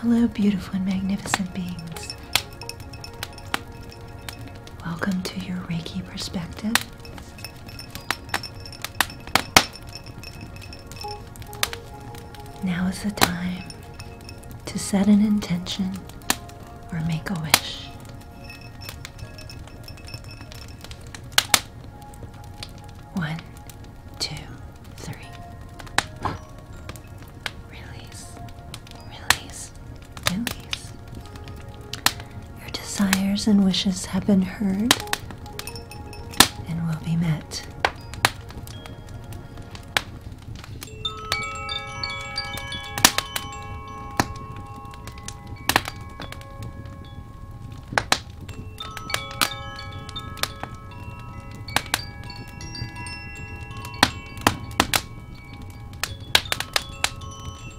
Hello, beautiful and magnificent beings. Welcome to your Reiki perspective. Now is the time to set an intention or make a wish. One, two, three. Release, release, release. Your desires and wishes have been heard and will be met.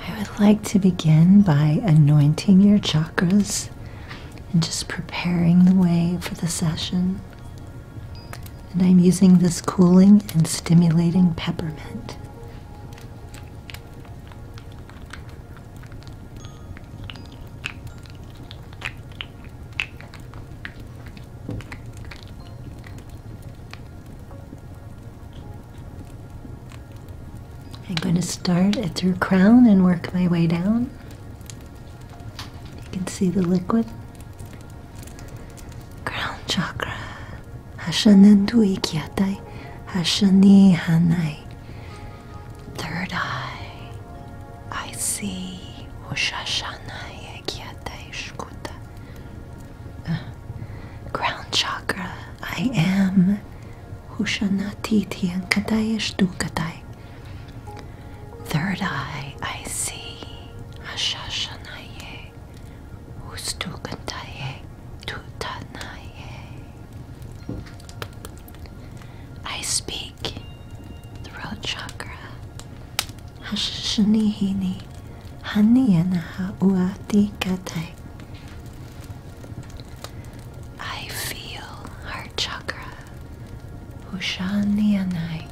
I would like to begin by anointing your chakras and just preparing the way for the session. And I'm using this cooling and stimulating peppermint. I'm going to start at your crown and work my way down. You can see the liquid. Crown chakra. Hashanendu ikyatai. Third eye. I see Ushashana Yagyata Shkuta. Uh, ground chakra, I am Hushanatiti and Kadayashtu Kadai. Third eye, I see Ashashanaye Ustukantaye Tutanaye. I speak throat chakra. Hashishini Haniyanaha Uati Katai. I feel heart chakra. Ushaniyanai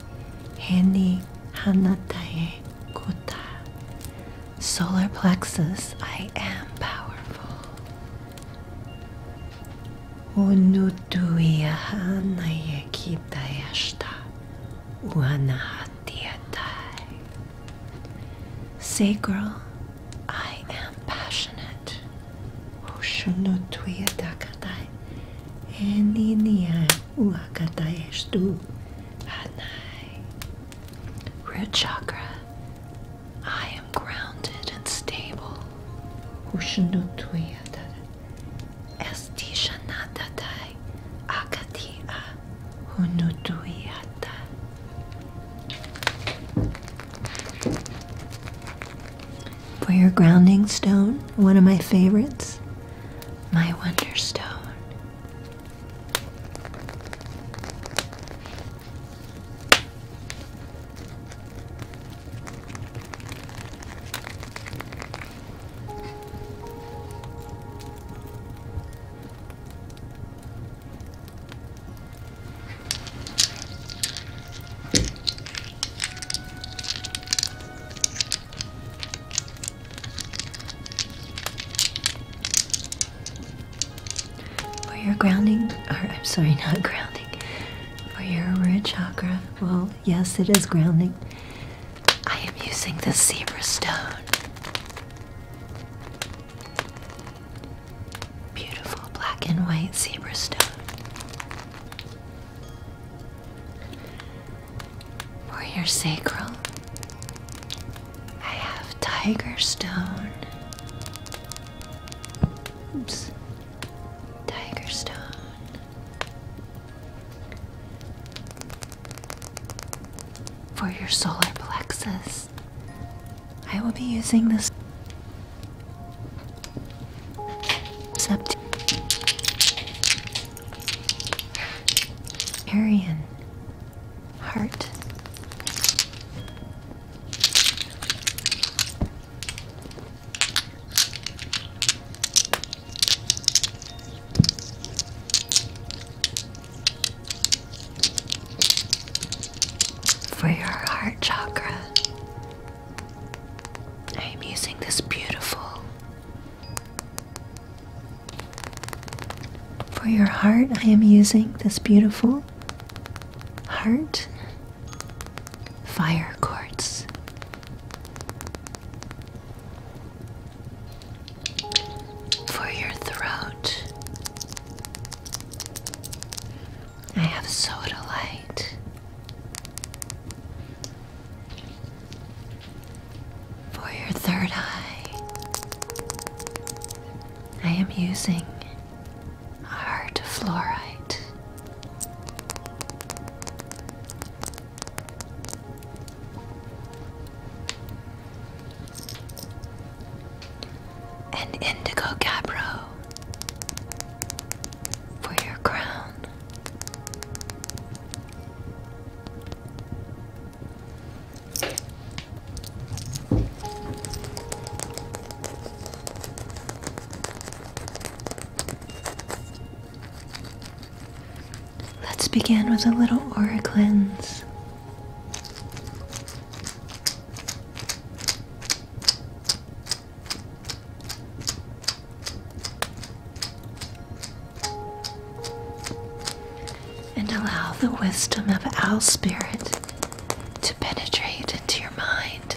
Hani Hanatae Kuta. Solar plexus, I am powerful. Unutuiahanayakitayashta. Wanahatiatai. Sacral, I am passionate. Oshunotuia dakatai. And in the uakatai estu hanai. Root chakra, I am grounded and stable. Oshunotuia for your grounding stone, one of my favorites, my wonderstone. For your grounding, or I'm sorry, not grounding, for your root chakra, well, yes, it is grounding. I am using the zebra stone. Beautiful black and white zebra stone. For your sacral, I have tiger stone. Oops. Tiger stone. For your solar plexus, I will be using this. Arian heart. For your heart chakra, I am using this beautiful. For your heart, I am using this beautiful heart fire quartz for your throat. I have soda light for your third eye. I am using heart fluorite and indigo capro for your crown. Let's begin with a little aura cleanse. And allow the wisdom of Owl Spirit to penetrate into your mind.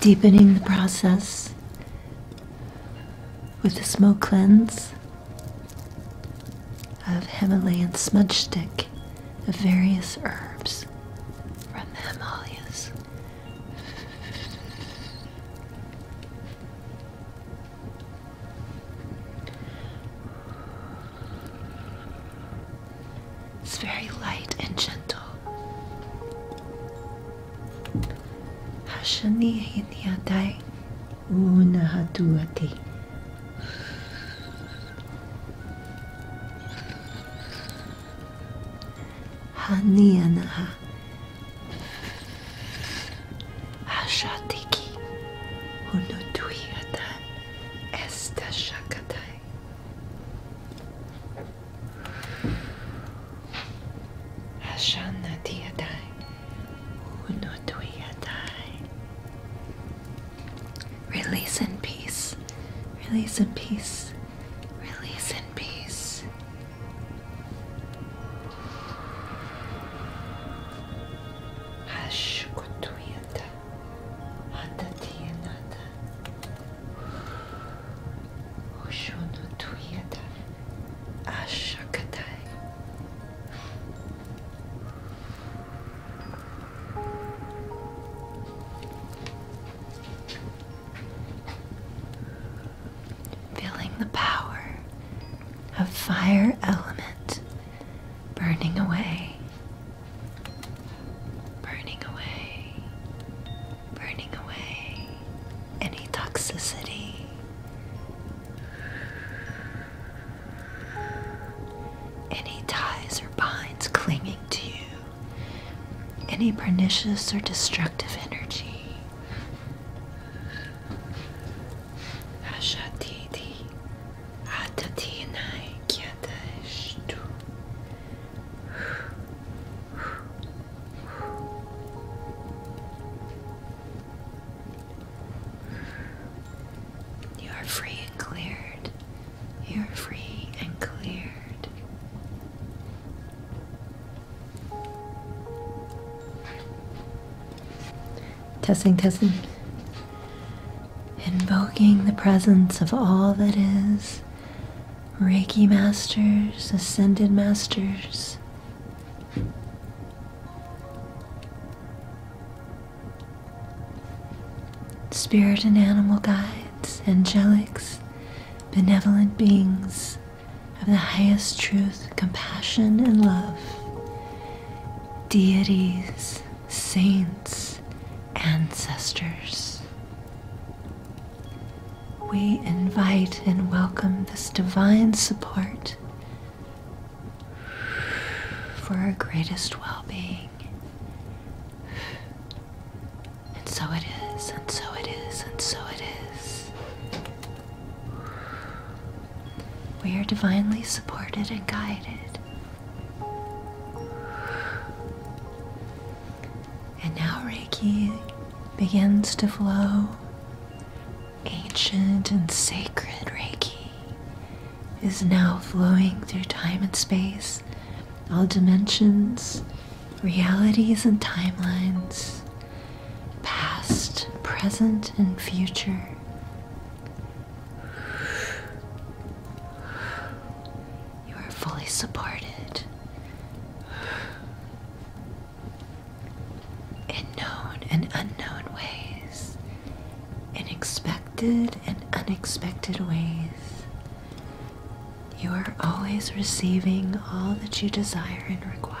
Deepening the process with the smoke cleanse of Himalayan smudge stick of various herbs from the Himalayas. It's very light and gentle. Hashani Unahatuati. Hanianaha Ashatiki Unutuyata Esta Shakatai. Ashana Diadai, Unutuiadai. Release in peace, release in peace, release in peace. Ashkutuiadai. Atatianata Feeling the power of fire element burning away burning away, burning away any toxicity. Any ties or binds clinging to you, any pernicious or destructive energy. Ashatiti, Atati and you are free and cleared. You are free and cleared. Testing, testing. Invoking the presence of all that is Reiki masters, ascended masters. Spirit and animal guides, angelics, benevolent beings of the highest truth, compassion, and love, deities, saints, ancestors. We invite and welcome this divine support for our greatest well being. And so it is, and so it is, and so it is. We are divinely supported and guided and now Reiki begins to flow. Ancient and sacred Reiki is now flowing through time and space, all dimensions, realities, and timelines, past, present, and future. You are fully supported in known and unknown ways, in expected and unexpected ways. You are always receiving all that you desire and require.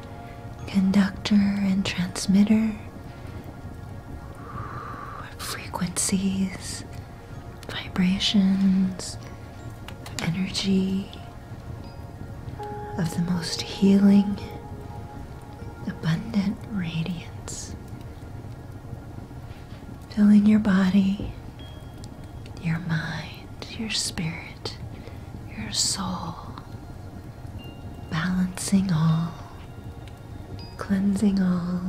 conductor and transmitter, frequencies, vibrations, energy of the most healing, abundant radiance, filling your body, your mind, your spirit your soul, balancing all, cleansing all,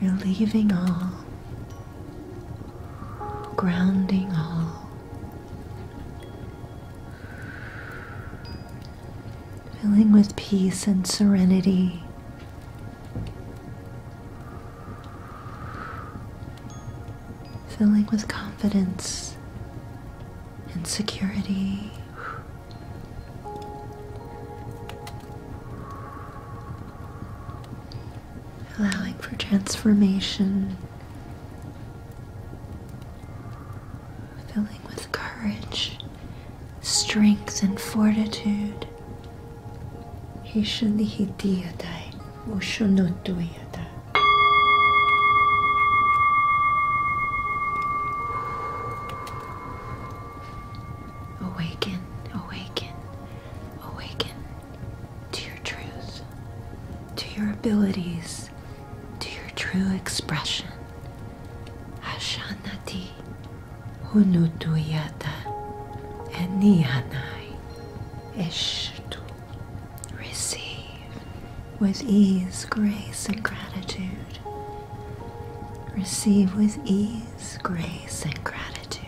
relieving all, grounding all, filling with peace and serenity filling with confidence and security. Allowing for transformation, filling with courage, strength, and fortitude. Awaken, awaken, awaken to your truth, to your abilities, to your true expression. Ashanati hunutuyata enihanai eshtu. Receive with ease, grace, and gratitude. Receive with ease, grace, and gratitude.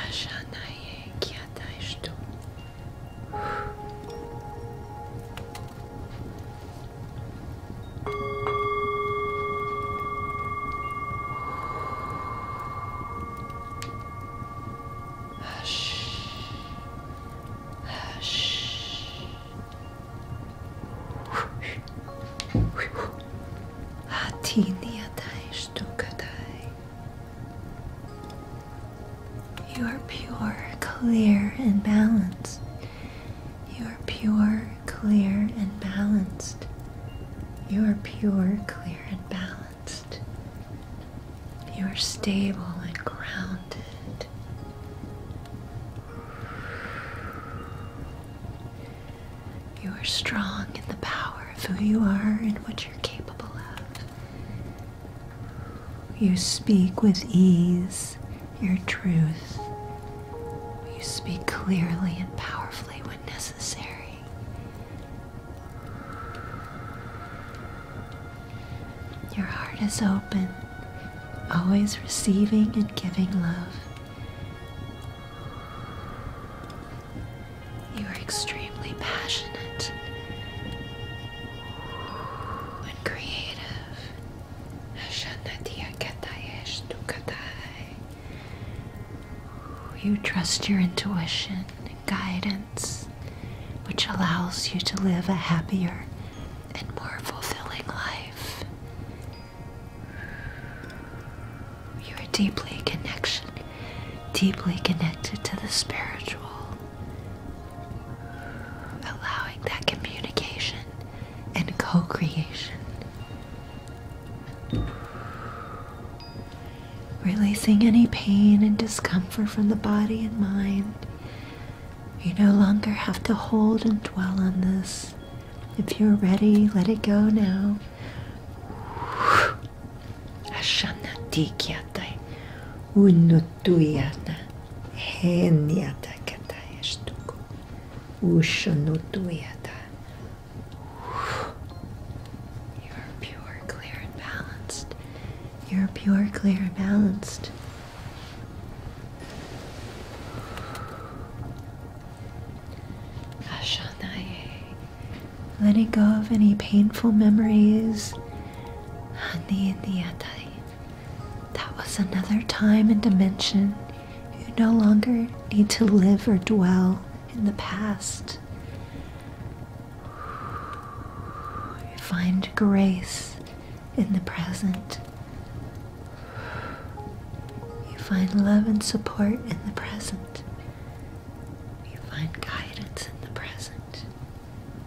Ashanaye kiataishtu. Hatini atai stukatai. You are pure, clear, and balanced. You are pure, clear, and balanced. You are pure, clear, and balanced. You are stable and grounded. You are strong in the power of who you are and what you're capable of. You speak with ease your truth. You speak clearly and powerfully when necessary. Your heart is open, always receiving and giving love. You are extremely passionate and creative. You trust your intuition and guidance, which allows you to live a happier and more fulfilling life. You are deeply connected, deeply connected to the spiritual allowing that communication and co creation, releasing any pain and discomfort from the body and mind. You no longer have to hold and dwell on this. If you're ready, let it go now. Ashanati kyatai. Unno tuijana, henjata kataestuku, ushanu tuijata. You are pure, clear, and balanced. You are pure, clear, and balanced. Letting go of any painful memories. Handi Indiatai. That was another time and dimension. You no longer need to live or dwell in the past. You find grace in the present. You find love and support in the present. You find guidance in the present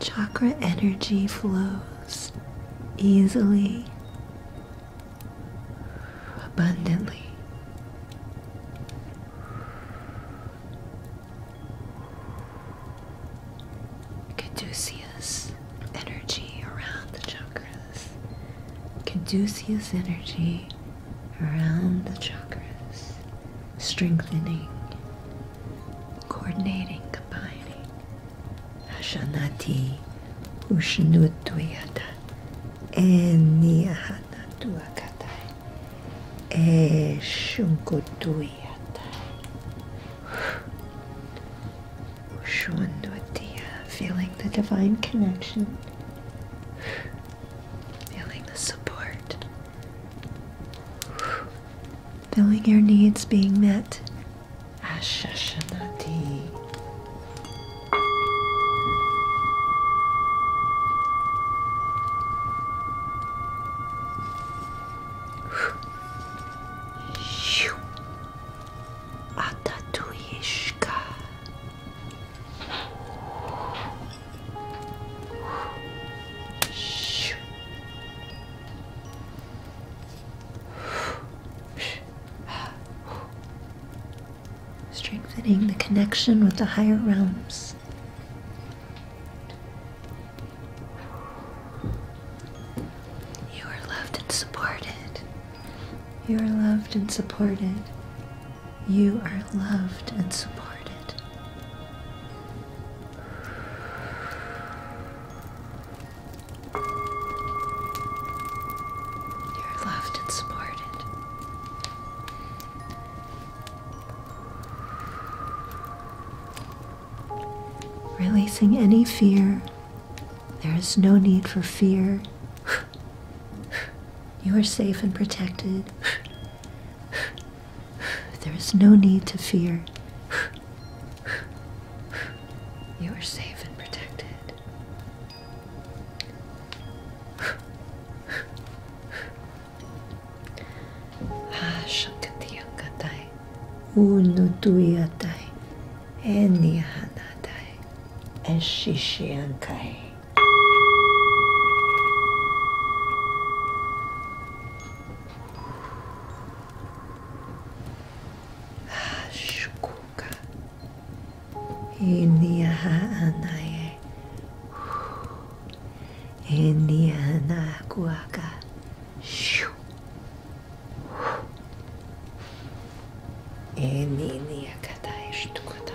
Chakra energy flows easily, abundantly. Caduceus energy around the chakras. Caduceus energy around the chakras, strengthening, coordinating, combining. Ashanati Ushnutuyata Eniahanatuakatai Eshunkutuyatai Ushwandutiya, feeling the divine connection feeling the support, feeling your needs being met. Ashashanati. Atatuyishka. Strengthening the connection with the higher realms. You are loved and supported. You are loved and supported. You are loved and supported. You're loved and supported. Releasing any fear. There is no need for fear. You are safe and protected. There is no need to fear. You are safe and protected. Ashakatiyangatai, unutuyatai, enihanatai, eshishiankai. Shukuka India Hanae India Hanakuaka Shu India Kataishtukata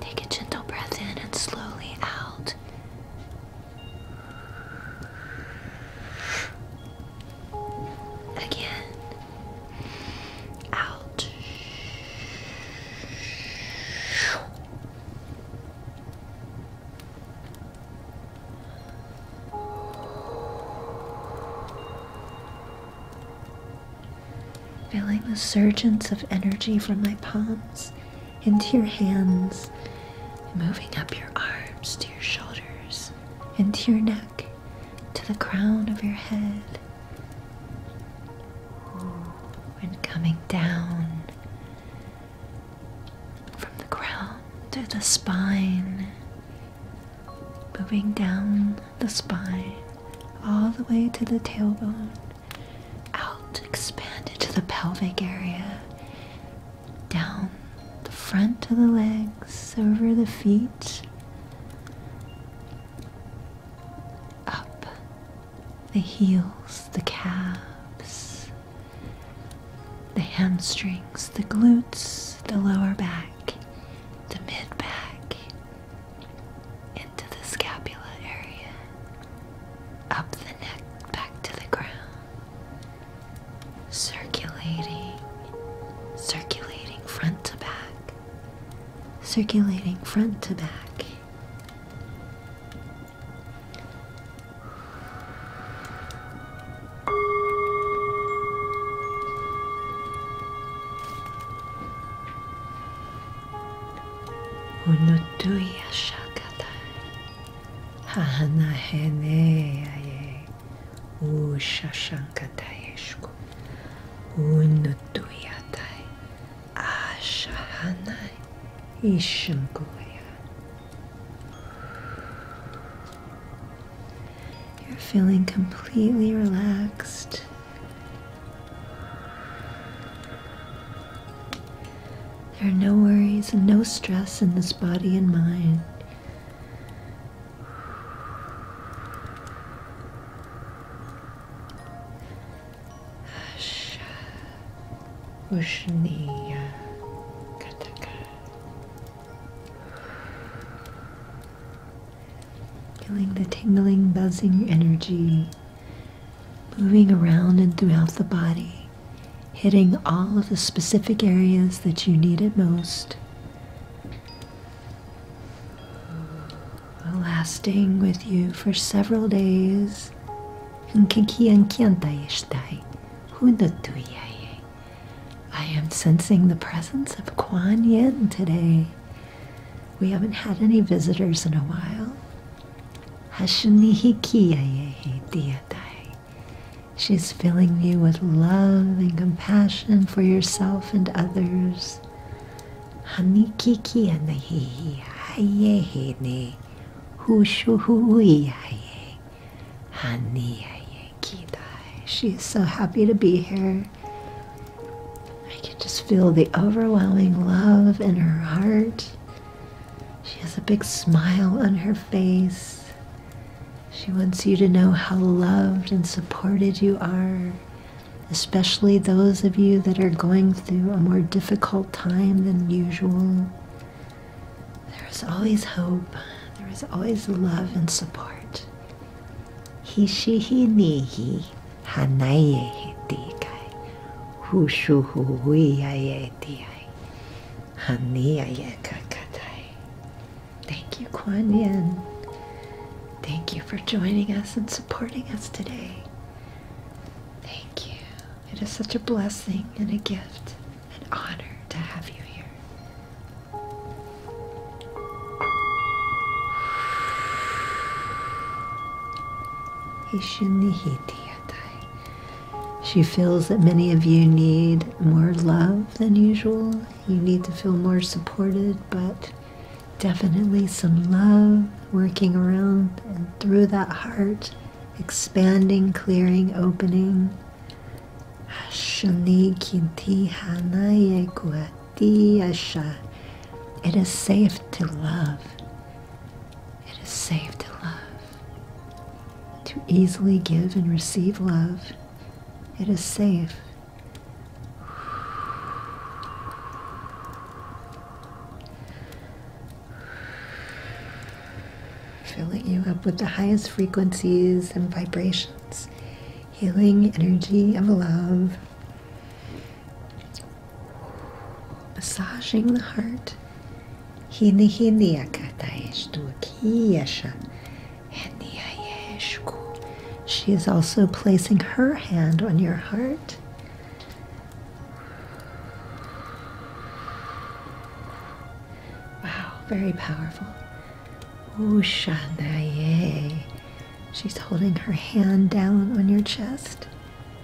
take a gentle breath in and slowly out. Again, out feeling the surges of energy from my palms into your hands, moving up your arms to your shoulders, into your neck, to the crown of your head, and coming down from the crown to the spine, moving down the spine all the way to the tailbone out, expand into the pelvic area, down the front of the legs, over the feet, up the heels, the calves, the hamstrings, the glutes, the lower back, the mid back, into the scapula area, up the neck back to the ground, circulating, circulating front to back, circulating front to back. ونطوي شكتاي هانا هناي وششنكتايشكو ونطوياتاي أشهاناي إشنكويا You're feeling completely relaxed there are no worries and no stress in this body and mind. Ushniya Kataka. Feeling the tingling, buzzing energy moving around and throughout the body, hitting all of the specific areas that you need it most. Lasting with you for several days. I am sensing the presence of Kuan Yin today. We haven't had any visitors in a while. She's filling you with love and compassion for yourself and others. She is so happy to be here. I can just feel the overwhelming love in her heart. She has a big smile on her face. She wants you to know how loved and supported you are, especially those of you that are going through a more difficult time than usual. There is always hope. There is always love and support. He, she, he, ni, he. Thank you, Kuan Yin. Thank you for joining us and supporting us today. Thank you. It is such a blessing and a gift, and honor to have you here. She feels that many of you need more love than usual. You need to feel more supported, but definitely some love working around and through that heart, expanding, clearing, opening. It is safe to love. It is safe to love. To easily give and receive love. It is safe. Filling you up with the highest frequencies and vibrations. Healing energy of love massaging the heart. he Hine hine akata eshtu kiyesha. She is also placing her hand on your heart. Wow, very powerful. Ushanaye. She's holding her hand down on your chest.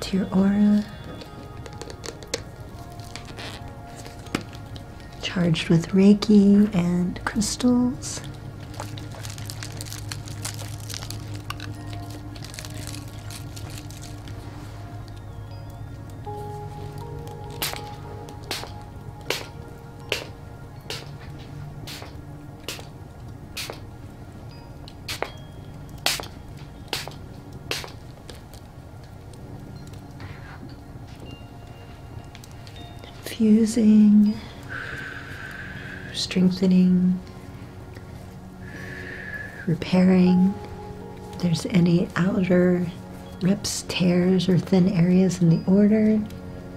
to your aura, charged with Reiki and crystals. Infusing, strengthening, repairing. there's any outer rips, tears, or thin areas in the order,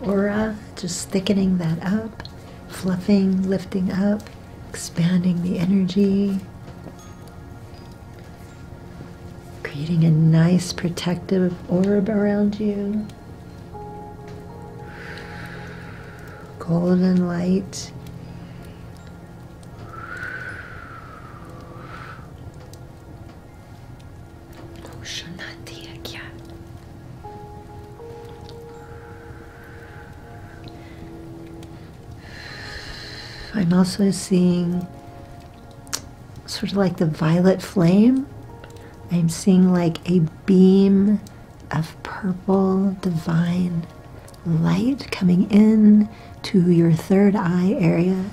aura, just thickening that up, fluffing, lifting up expanding the energy, creating a nice protective orb around you. Golden light. I'm also seeing sort of like the violet flame. I'm seeing like a beam of purple divine light coming in to your third eye area.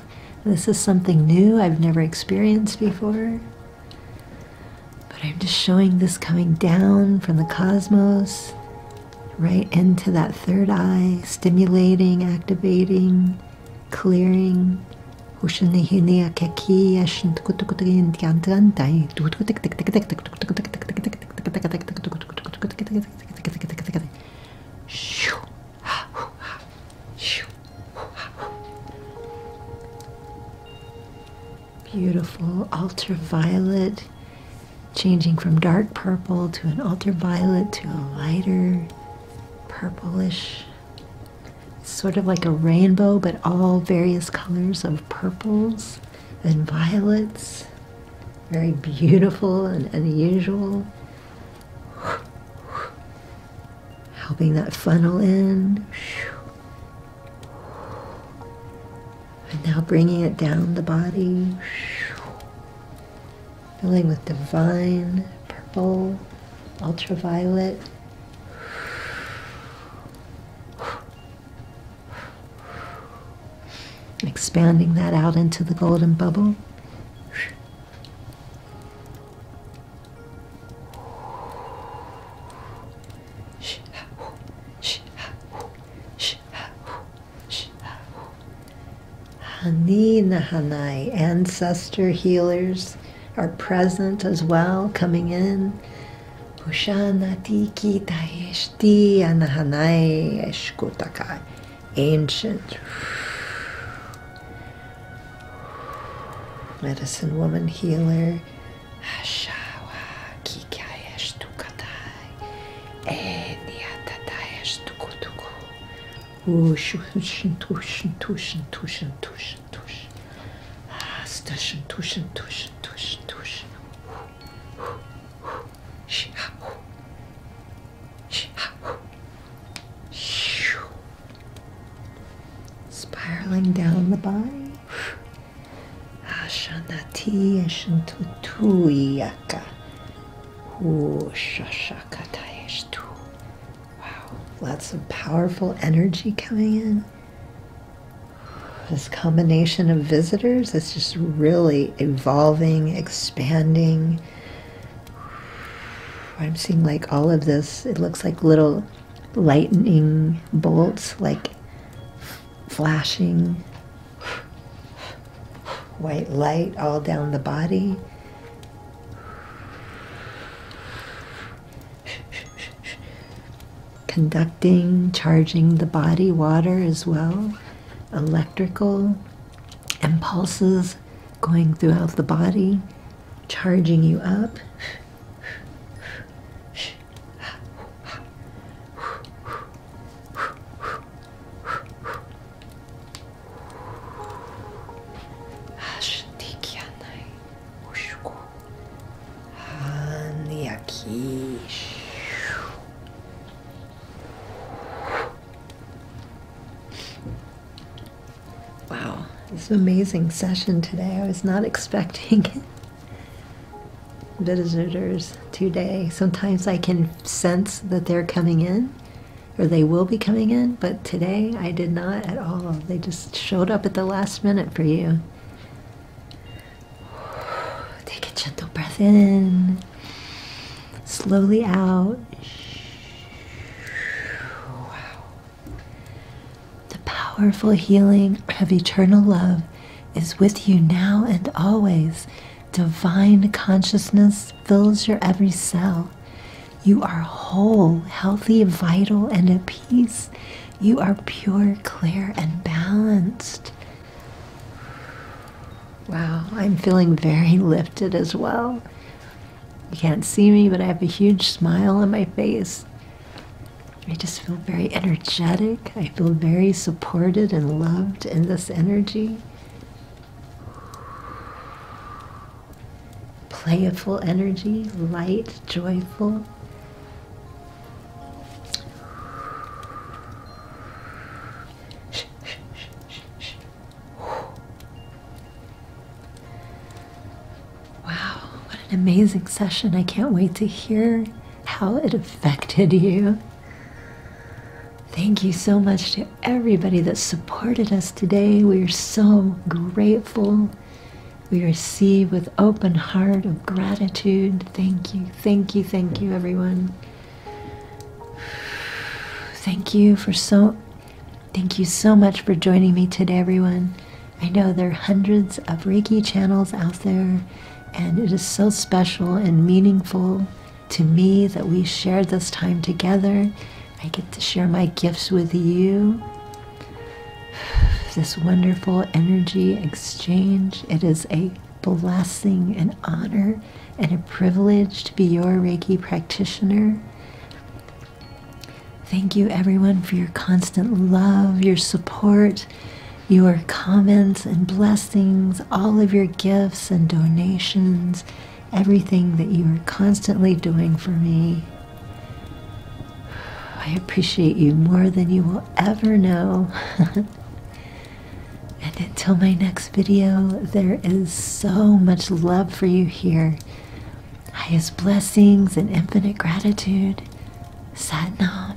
This is something new I've never experienced before. But I'm just showing this coming down from the cosmos right into that third eye, stimulating, activating, clearing. Beautiful ultraviolet, changing from dark purple to an ultraviolet to a lighter purplish. sort of like a rainbow, but all various colors of purples and violets. Very beautiful and unusual. Helping that funnel in. And now bringing it down the body, filling with divine, purple, ultraviolet. Expanding that out into the golden bubble. Hani Nahanai, ancestor healers are present as well, coming in. Pushanatiki Taeshti Anahanai Eshkutaka, ancient medicine woman healer Achava kikaesh tukatai eniatataesh tukutuku. Ushin tushin tushin tushin tushin tushin. Ah, Stushin tushin tushin tushin tushin. Shihahu. Shihahu. Spiraling down the body. Ashanati Shantutu Yaka. Wow, lots of powerful energy coming in. This combination of visitors is just really evolving, expanding. I'm seeing like all of this, it looks like little lightning bolts, like flashing White light all down the body. Conducting, charging the body, water as well, electrical impulses going throughout the body, charging you up. Achei que a Nai Wow, this an amazing session today. I was not expecting it visitors today. Sometimes I can sense that they're coming in or they will be coming in, but today I did not at all. They just showed up at the last minute for you. Take a gentle breath in, slowly out. Wow. The powerful healing of eternal love is with you now and always. Divine consciousness fills your every cell. You are whole, healthy, vital, and at peace. You are pure, clear, and balanced. Wow, I'm feeling very lifted as well. You can't see me, but I have a huge smile on my face. I just just feel very energetic. I feel very supported and loved in this energy. Playful energy, light, joyful. Wow, what an amazing session. I can't wait to hear how it affected you. Thank you so much to everybody that supported us today. We are so grateful. We receive with open heart of gratitude. Thank you, thank you, thank you, everyone. Thank you for so thank you so much for joining me today, everyone. I know there are hundreds of Reiki channels out there and it is so special and meaningful to me that we share this time together. I get to share my gifts with you. This wonderful energy exchange. It is a blessing, an honor, and a privilege to be your Reiki practitioner. Thank you, everyone, for your constant love, your support, your comments and blessings, all of your gifts and donations, everything that you are constantly doing for me. I appreciate you more than you will ever know. and until my next video, there is so much love for you here. Highest blessings and infinite gratitude. Satnam.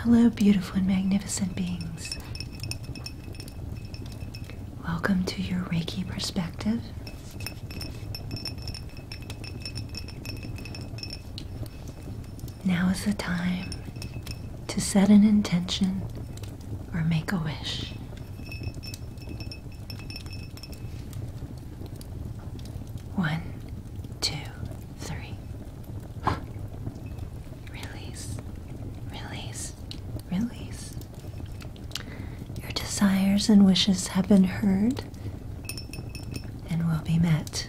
Hello, beautiful and magnificent beings. Welcome to your Reiki perspective. Now is the time to set an intention or make a wish. One, two, three. Release, release, release. Your desires and wishes have been heard and will be met.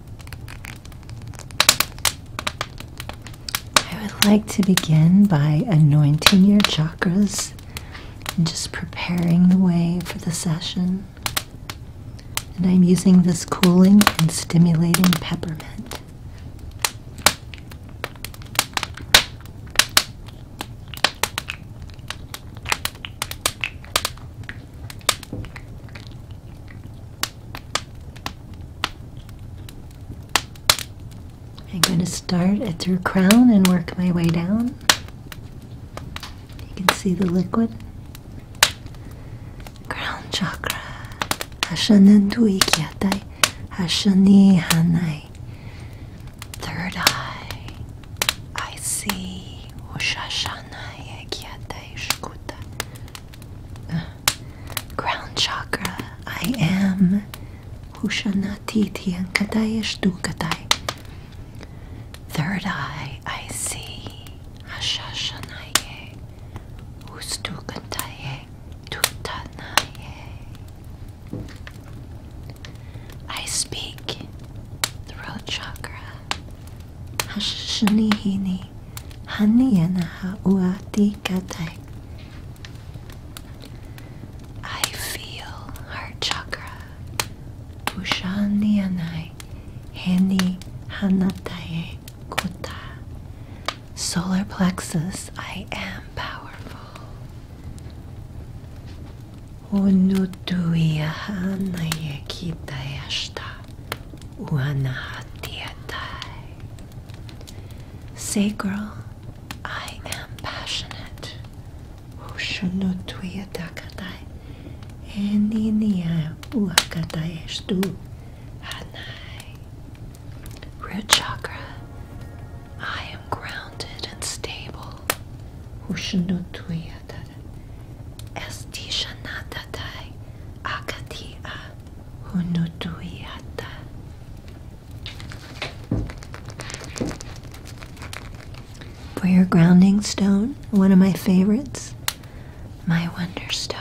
I would like to begin by anointing your chakras and just preparing the way for the session. And I'm using this cooling and stimulating peppermint. I'm going to start at your crown and work my way down. You can see the liquid. Crown chakra. Hashanandu ikyatai. Hashani hanai. Third eye. I see. Ushashanai ikyatai shkuta. Ground chakra. I am Hushanatiti and Kadayashtu Kadai. Third eye, I see Hashashanaye, Ustukataye, Tutanaye. I speak throat chakra hashnihini ha uati katai. I feel heart chakra pushanianai heni hanatae kota. Solar plexus, I am powerful. Unutuiaha nayekitayashta. Wanahatiatai. Sacral, I am passionate. Ushunutuiatakatai. Eninia uakataestu. Hanai. Root chakra, I am grounded and stable. Ushunutuiatakatai. Esti shanatatai akatia uh, hunutuiata. For your grounding stone, one of my favorites, my Wonderstone.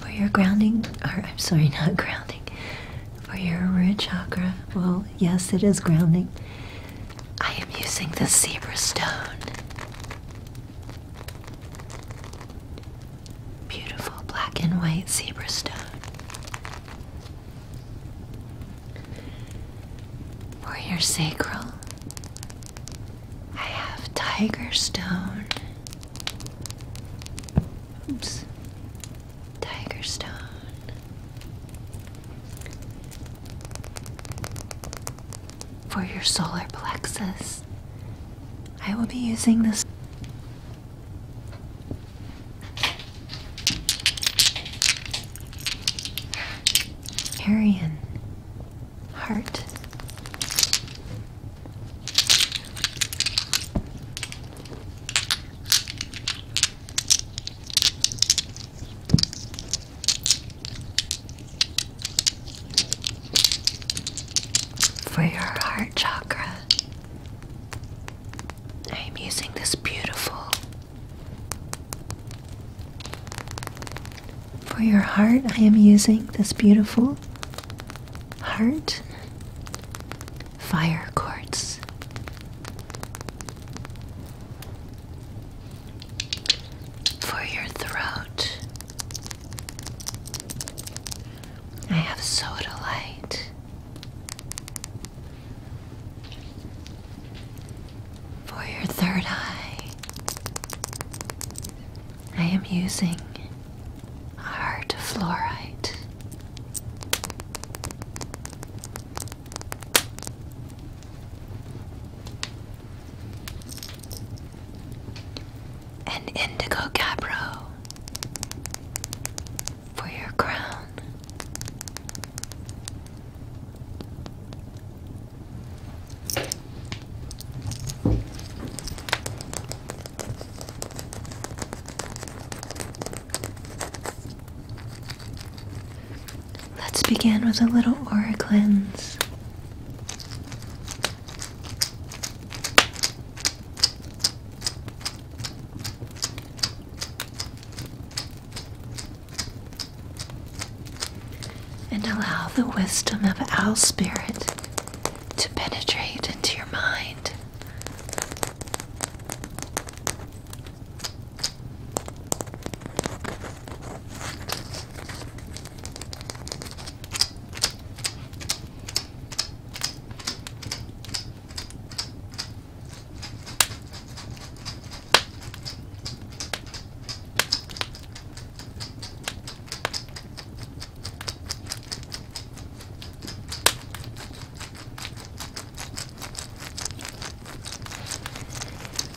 For your grounding, or I'm sorry, not grounding, for your root chakra, well, yes, it is grounding. I am using the zebra stone. Beautiful black and white zebra stone. For your sacral, I have tiger stone. Oops. Tiger stone. For your solar plexus, I will be using this. Arian heart. For your heart chakra, I am using this beautiful. For your heart, I am using this beautiful heart fire quartz for your throat. I have soda light for your third eye. I am using hard fluorite. An indigo capro for your crown. Let's begin with a little aura cleanse. And allow the wisdom of Owl Spirit to penetrate into your mind.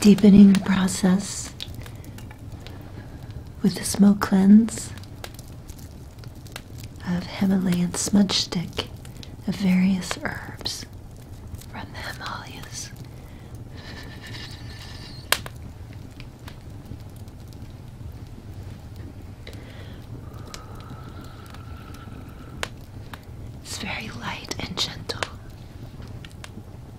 Deepening the process with the smoke cleanse of Himalayan smudge stick of various herbs from the Himalayas. It's very light and gentle.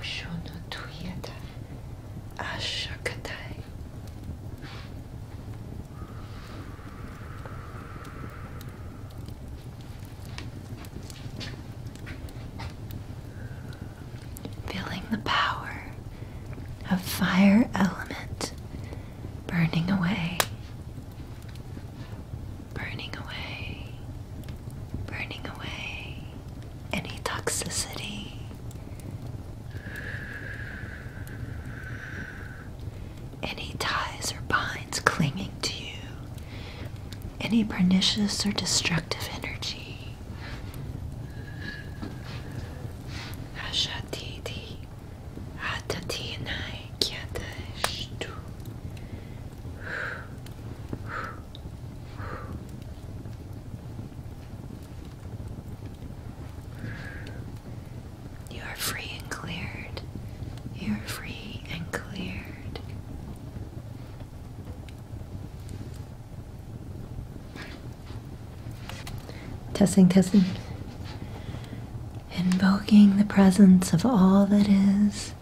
Oshono Tuyata Ashakatai. Feeling the power of fire element burning away, burning away, burning away, any toxicity. Any ties or binds clinging to you, any pernicious or destructive energy. You are free and cleared. You are free and cleared. Testing, testing. Invoking the presence of all that is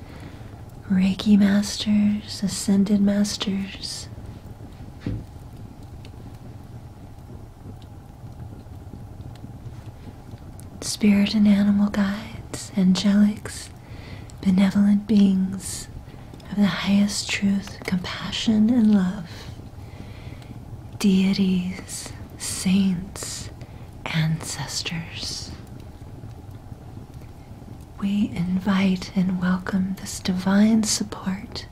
Reiki masters, ascended masters. Spirit and animal guides, angelics, benevolent beings of the highest truth, compassion, and love, deities, saints, ancestors, we invite and welcome this divine support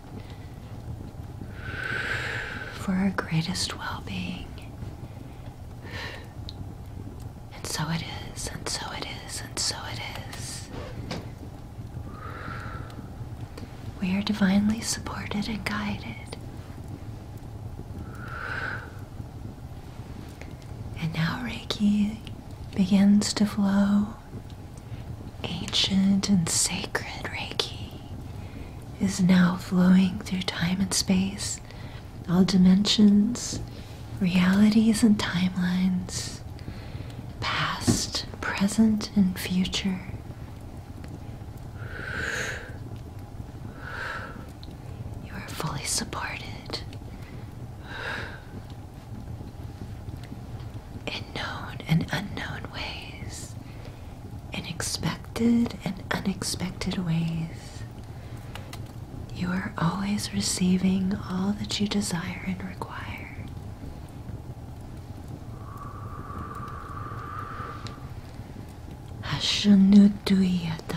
for our greatest well being. And so it is, and so it is, and so it is. We are divinely supported and guided. And now Reiki begins to flow. Ancient and sacred Reiki is now flowing through time and space, all dimensions, realities, and timelines, past, present, and future. You are fully supported in known and unknown ways, in expected and unexpected ways. You are always receiving all that you desire and require. Hashanutuyata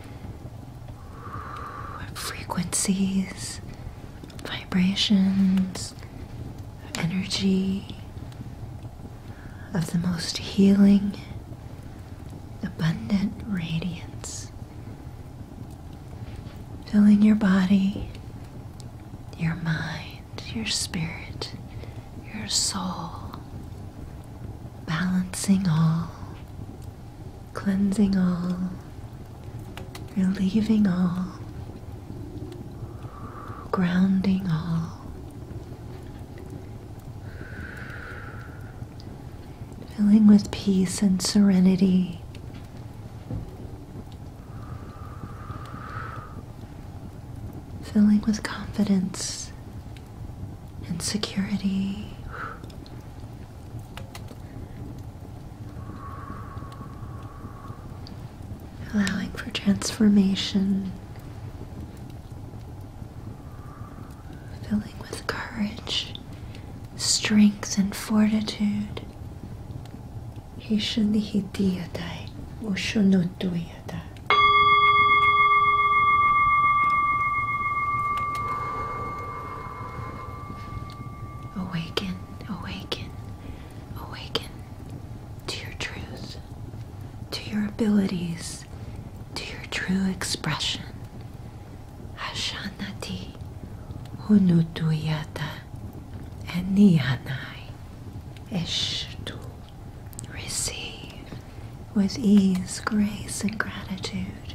frequencies, vibrations, energy of the most healing, abundant radiance, filling your body, your mind, your spirit, your soul, balancing all cleansing all, relieving all, grounding all, filling with peace and serenity. Filling with confidence and security allowing for transformation, filling with courage, strength, and fortitude. Hishunihidiyadai, Ushunuduiyadai. Awaken, awaken, awaken to your truth, to your abilities, to your true expression. Hashanati Hunutuyata Enihanai Ishtu. Receive with ease, grace, and gratitude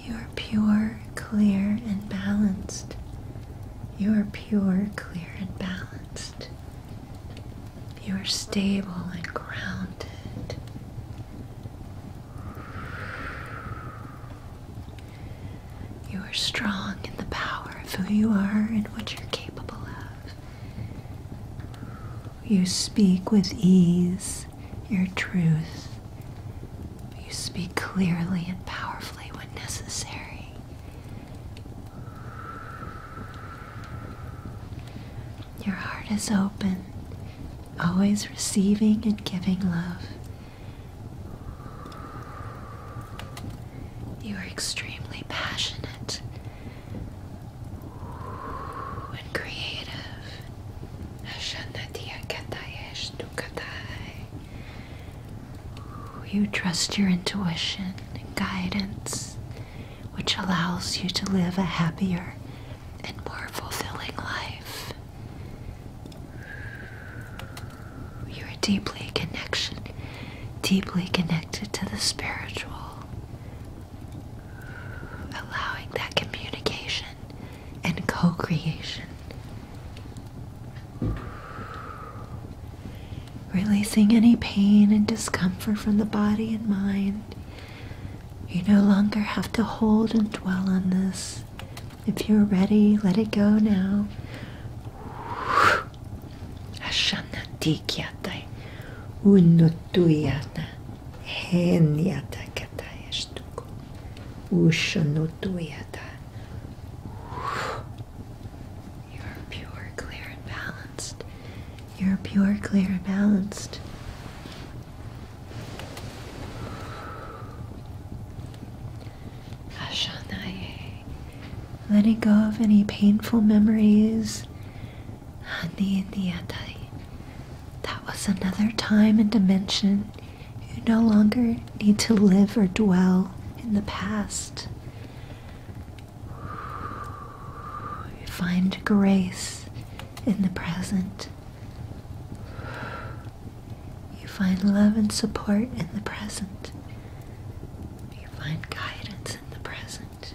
You are pure, clear, and balanced. You are pure, clear, and balanced. You are stable and grounded. You are strong in the power of who you are and what you're capable of. You speak with ease your truth. you speak clearly and powerfully when necessary. Your heart is open, always receiving and giving love. You are extremely passionate and creative you trust your intuition and guidance, which allows you to live a happier and more fulfilling life. You are deeply connected, deeply connected to the spiritual, allowing that communication and co creation. Releasing any pain and discomfort from the body and mind. You no longer have to hold and dwell on this. If you're ready, let it go now. Ushanutuyata. You're pure, clear, and balanced. You're pure, clear, and balanced. Ashanaye. Letting go of any painful memories. That was another time and dimension you no longer need to live or dwell in the past. You find grace in the present. You find love and support in the present. You find guidance in the present.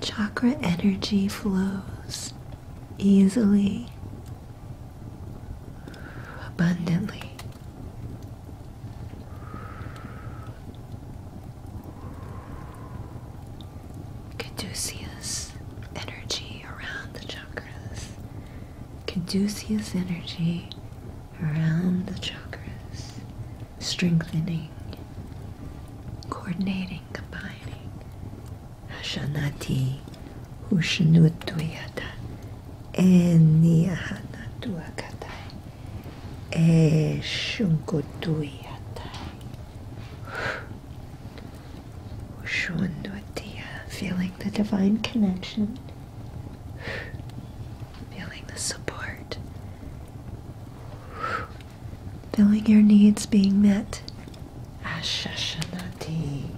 Chakra energy flows easily, abundantly. Caduceus energy around the chakras. Caduceus energy around the chakras, strengthening coordinating, combining. Hashanati Hushanutuyata Eniahanatuakatai Eshunkutuyatai Ushundutiya feeling the divine connection feeling the support Feeling your needs being met. Ashashanati.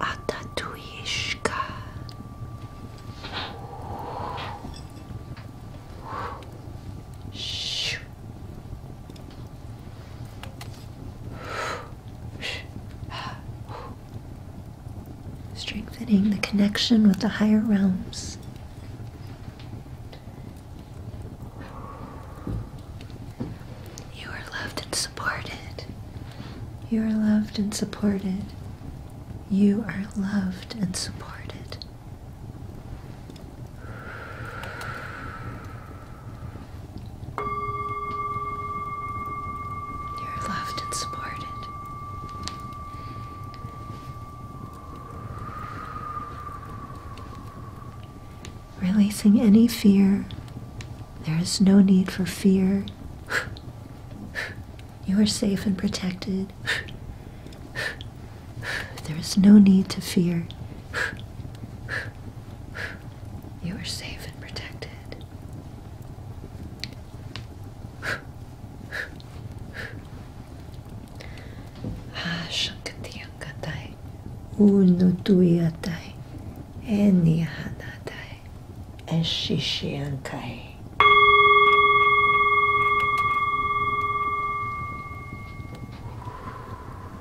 Atatuishka. Shoo. Strengthening the connection with the higher realms. You are loved and supported. You are loved and supported. You are loved and supported. You're loved and supported. Releasing any fear. There is no need for fear. You are safe and protected. There is no need to fear. You are safe and protected. Ashakatiakatai, unutuyatai, eniahanatai, eshishiankai.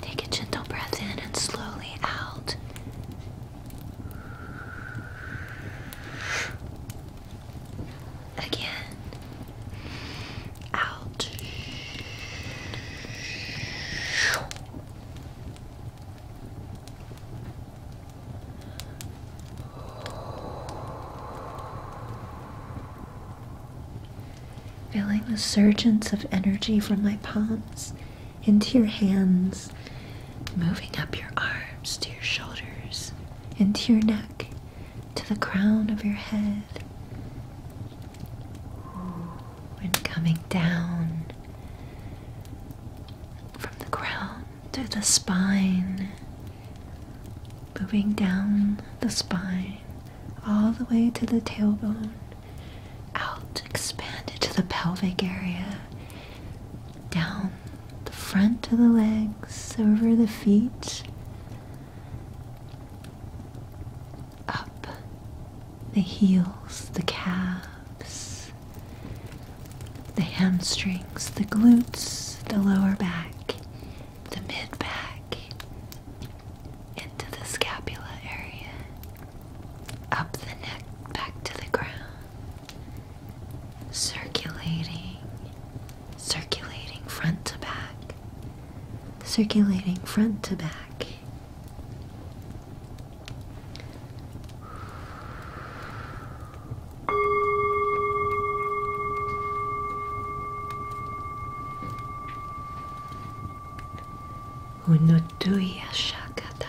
Take a gentle breath in and slowly out. Again. Out. Feeling the surges of energy from my palms into your hands, moving up your arms to your shoulders, into your neck, to the crown of your head, and coming down from the crown to the spine, moving down the spine all the way to the tailbone out, it to the pelvic area, down the front of the legs, over the feet, up the heels, the calves, the hamstrings, the glutes, the lower back, the mid back, into the scapula area up the neck back to the ground, circulating, circulating front to back, circulating front to back. Unutuya Shakatai.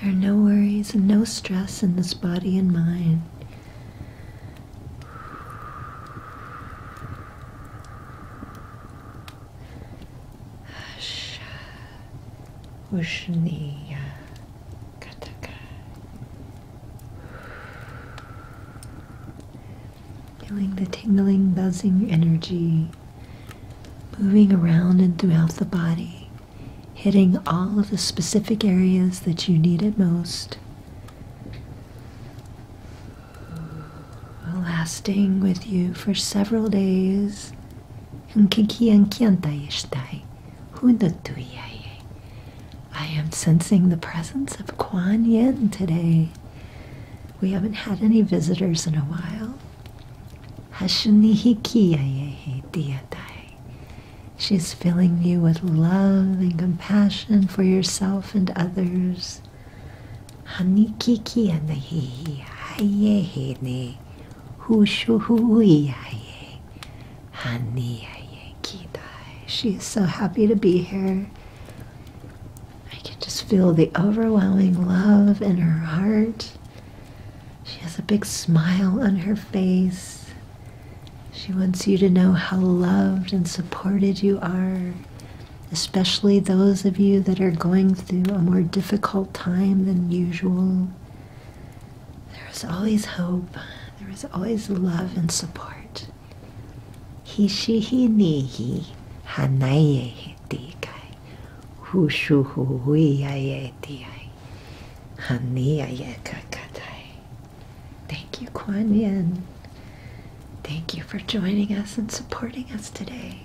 There are no worries and no stress in this body and mind. Ushniya Kataka. Feeling the tingling, buzzing energy moving around and throughout the body hitting all of the specific areas that you need it most, lasting with you for several days. I am sensing the presence of Kuan Yin today. We haven't had any visitors in a while. She's filling you with love and compassion for yourself and others. She is so happy to be here. I can just feel the overwhelming love in her heart she has a big smile on her face. She wants you to know how loved and supported you are, especially those of you that are going through a more difficult time than usual. There is always hope. There is always love and support. Hishi hini hi hanaye Thank you, Kuan Yin. Thank you for joining us and supporting us today.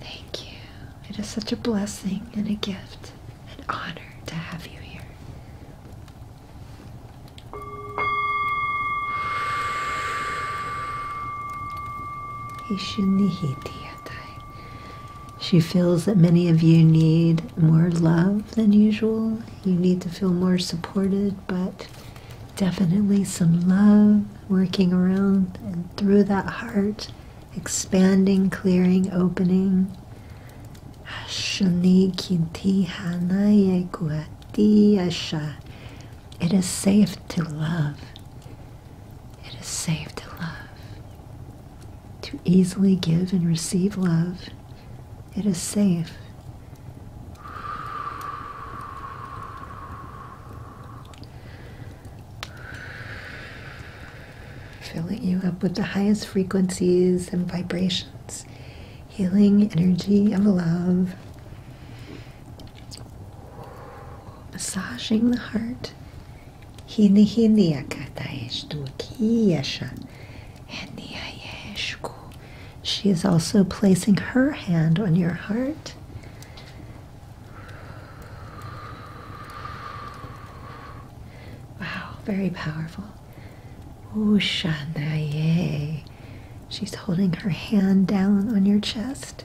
Thank you. It is such a blessing and a gift, and honor to have you here. She feels that many of you need more love than usual. You need to feel more supported, but definitely some love working around and through that heart, expanding, clearing, opening. It is safe to love. It is safe to love to easily give and receive love. It is safe. Filling you up with the highest frequencies and vibrations, healing energy of love, massaging the heart she is also placing her hand on your heart. Wow, very powerful. Ushanaye. She's holding her hand down on your chest.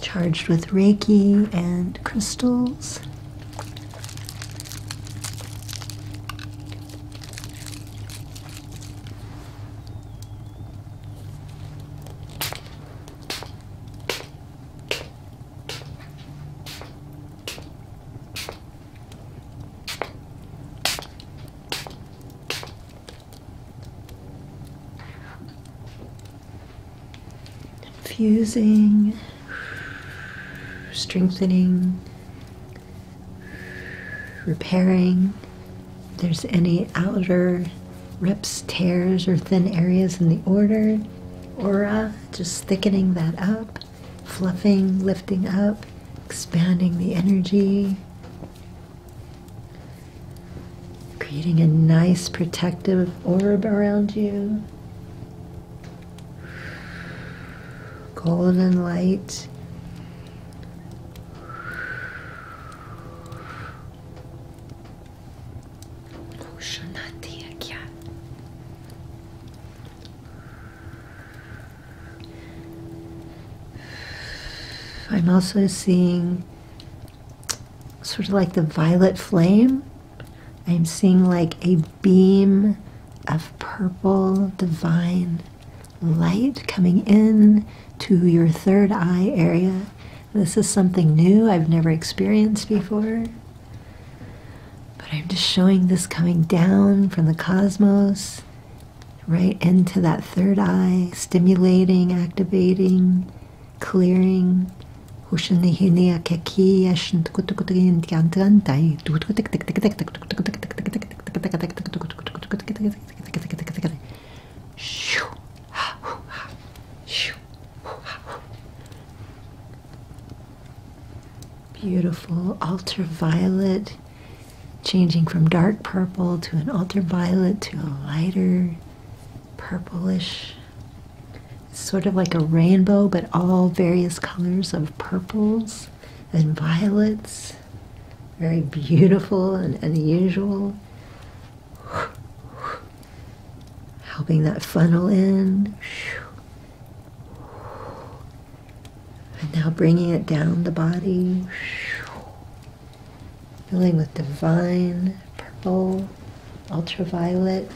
Charged with Reiki and crystals. Infusing, strengthening, repairing. there's any outer rips, tears, or thin areas in the order, aura, just thickening that up, fluffing, lifting up, expanding the energy. Creating a nice protective orb around you. Golden light. I'm also seeing sort of like the violet flame. I'm seeing like a beam of purple divine light coming in to your third eye area. This is something new I've never experienced before. But I'm just showing this coming down from the cosmos right into that third eye, stimulating, activating, clearing. Beautiful ultraviolet changing from dark purple to an ultraviolet to a lighter purplish. sort of like a rainbow, but all various colors of purples and violets. Very beautiful and unusual. Helping that funnel in. And now bringing it down the body filling with divine purple, ultraviolet.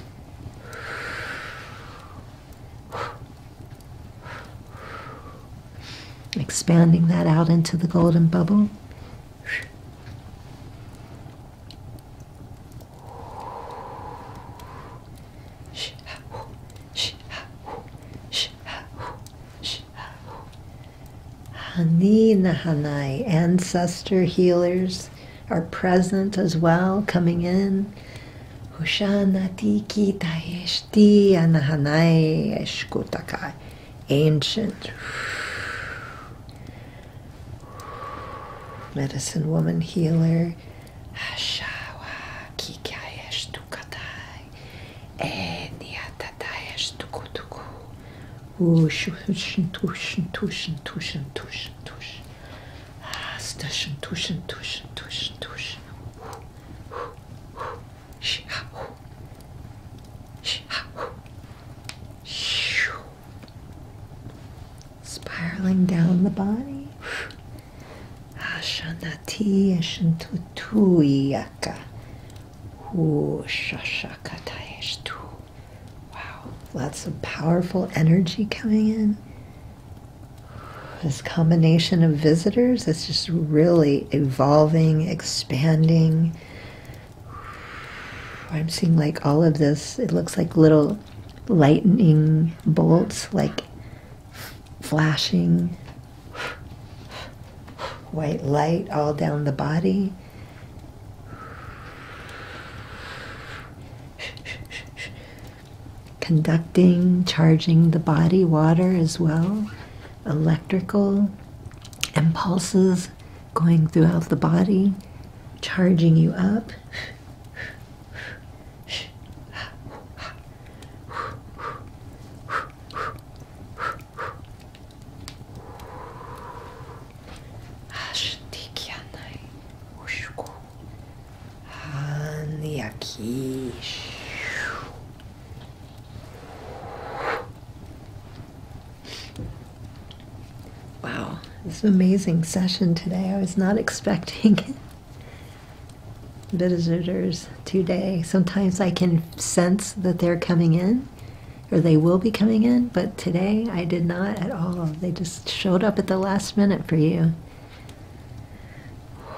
Expanding that out into the golden bubble. Hani Nahanai, ancestor healers, are present as well, coming in. Hushanati Kitayeshti Anahanai Eshkutakai, ancient medicine woman healer. Hashawa Kikayeshtukatai and yeah, tatayash tuku tuku. Wushu hushin tushin tushin tushin tushin tush. Ah, stushin tushin tushin tushin tushin. Shh, ha, hoo. Shh, ha, hoo. Shoo. Spiraling down the body. Ashanati Ashantutuyaka Wow, lots of powerful energy coming in. This combination of visitors its just really evolving, expanding. I'm seeing like all of this, it looks like little lightning bolts, like flashing White light all down the body. Conducting, charging the body, water as well, electrical impulses going throughout the body, charging you up. Ashtikianai Ushku Hanyaki. Wow, it's an amazing session today. I was not expecting Visitors today. Sometimes I can sense that they're coming in, or they will be coming in, but today I did not at all. They just showed up at the last minute for you.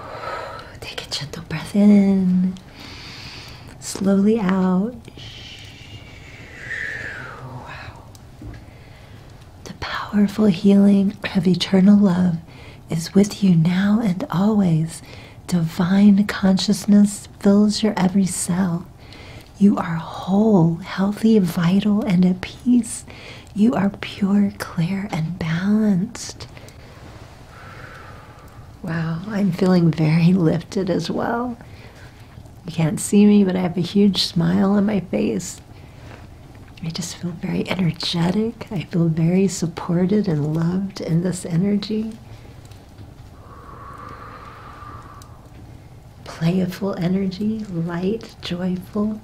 Take a gentle breath in, slowly out. Wow. The powerful healing of eternal love is with you now and always. Divine consciousness fills your every cell. You are whole, healthy, vital, and at peace. You are pure, clear, and balanced. Wow, I'm feeling very lifted as well. You can't see me, but I have a huge smile on my face. I just feel very energetic. I feel very supported and loved in this energy playful energy, light, joyful.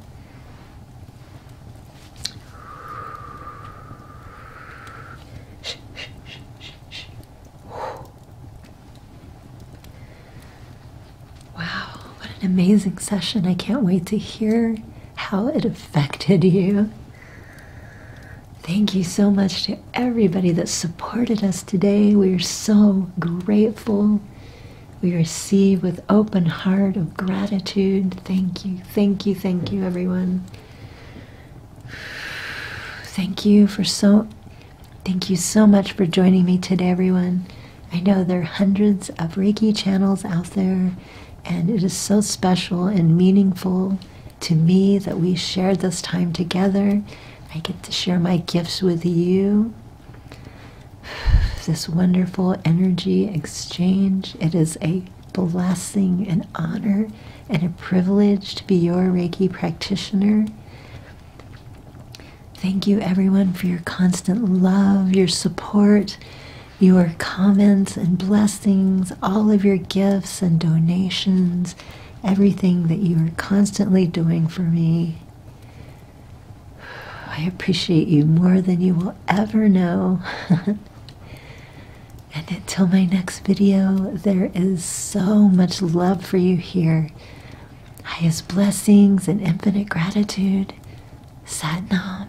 Wow, what an amazing session. I can't wait to hear how it affected you. Thank you so much to everybody that supported us today. We are so grateful. We receive with open heart of gratitude. Thank you, thank you, thank you, everyone. Thank you for so thank you so much for joining me today, everyone. I know there are hundreds of Reiki channels out there, and it is so special and meaningful to me that we shared this time together. I get to share my gifts with you. This wonderful energy exchange. It is a blessing, an honor, and a privilege to be your Reiki practitioner. Thank you, everyone, for your constant love, your support, your comments and blessings, all of your gifts and donations everything that you are constantly doing for me. I appreciate you more than you will ever know. and until my next video, there is so much love for you here. Highest blessings and infinite gratitude. Sat Nam.